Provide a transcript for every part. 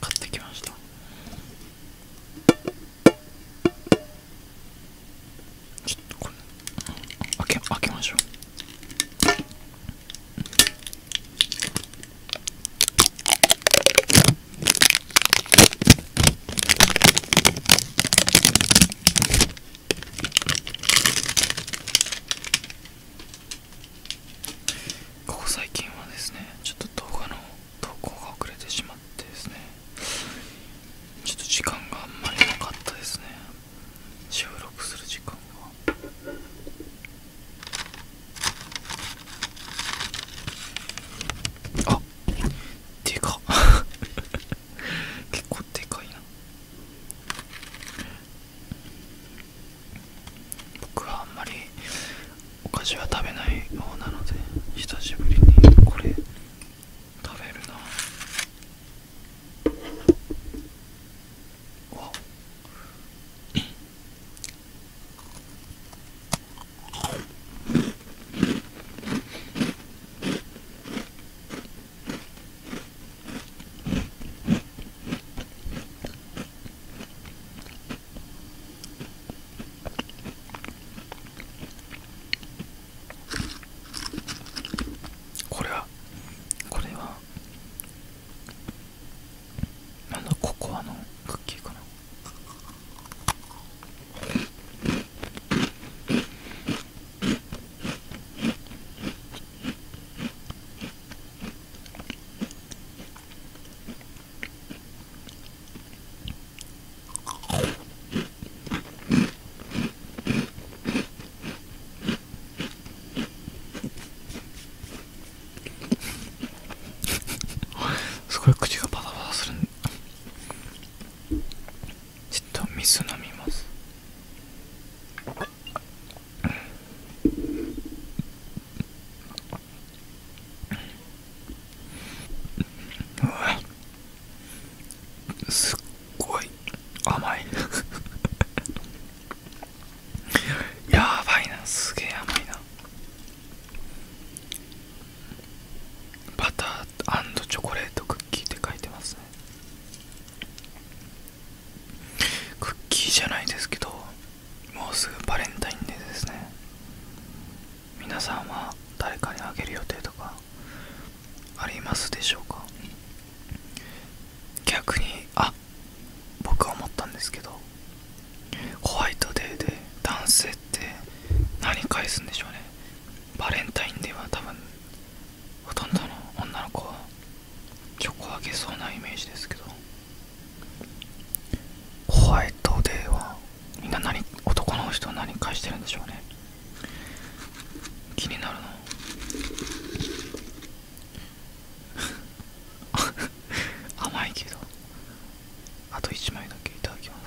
買ってきましたちょっとこれ開け開けましょうここ最近はですねちょっと動画の投稿が遅れてしまってですねちょっと時間があんまりなかったですね収録する時間があっでか 結構でかいな僕はあんまりお菓子は食べない方なので久しぶりにこれ食べるなわこれはこれはなんだココアのクッキーかなすごい口がバタバタするちょっと水飲みますうわ。すっごい甘い やばいなすげえ甘いなバターチョコレートクッキーって書いてますねクッキーじゃないですけどもうすぐバレンタインデーですね皆さんは誰かにあげる予定とかありますでしょうか逆にあ僕は思ったんですけどホワイトデーで男性って何返すんでしょうねバレンタインデーは多分ほとんどの女の子はチョコあげそうなイメージですけどホワイトデーはみんな何男の人は何返してるんでしょうね気になるな 甘いけどあと1枚だけいただきます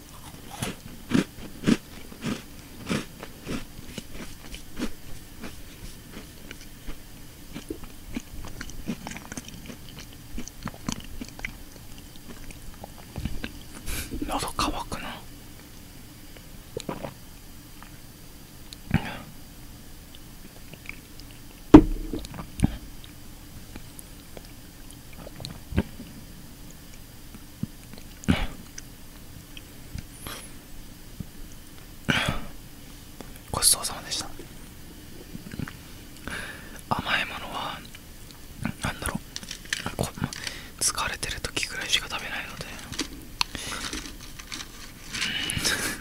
喉乾くなごちそうさまでした甘いものはなんだろうこ疲れてる時ぐらいしか食べないので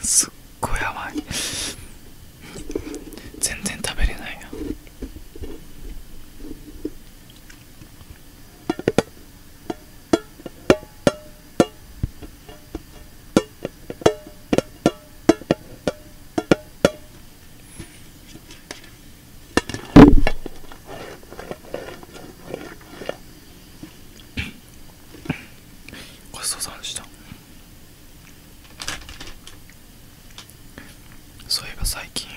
すっごい甘い全然食べれないよごちそうさまでしたそういえば最近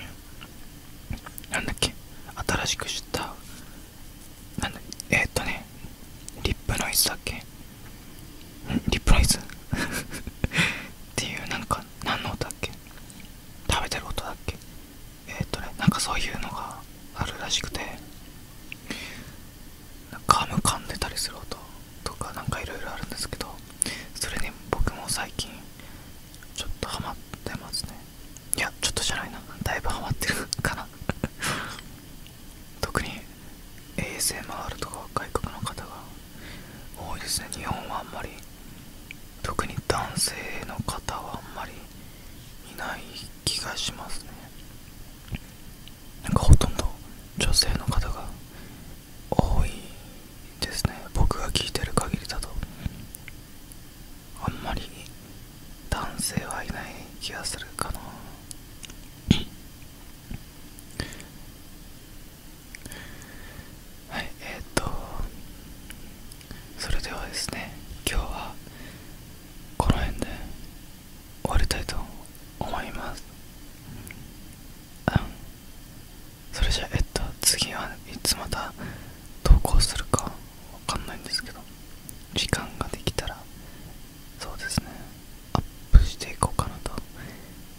なんだっけ新しく知ったなんだえっとねリップノイズだっけんリップノイズ っていうなんか何の音だっけ食べてる音だっけえっとねなんかそういうのがあるらしくて噛む噛んでたりする音とか何かいろいろあるんですけどそれに僕も最近ちょっとハマってますねいやちょっとじゃないなだいぶハマってる かな 特に ASMR とか外国の方が多いですね日本はあんまり特に男性の方はあんまりいない気がしますねなんかほとんど女性の方が多いですね僕が聞いてる限りだとあんまり男性はいない気がするかな はいえっ、とそれではですね今日はこの辺で終わりたいと思います、うん、それじゃえっと次はいつまた投稿するかわかんないんですけど時間ができたらそうですねアップしていこうかなと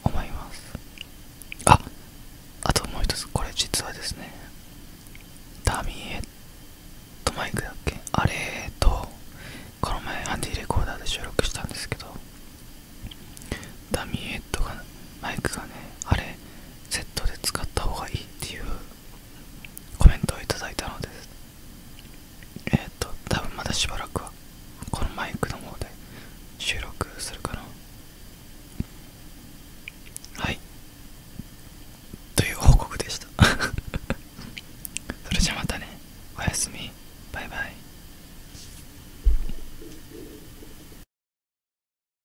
思いますああともう一つこれ実はですねダミーヘッドマイクだっけあれとこの前アンディレコーダーで収録したんですけどダミーエッドがマイクがねあれセットで使った方がいいっていうコメントを頂いたのですえっ、ー、と多分まだしばらくはこのマイクの方で収録するかなはいという報告でした それじゃまたねおやすみバイバイ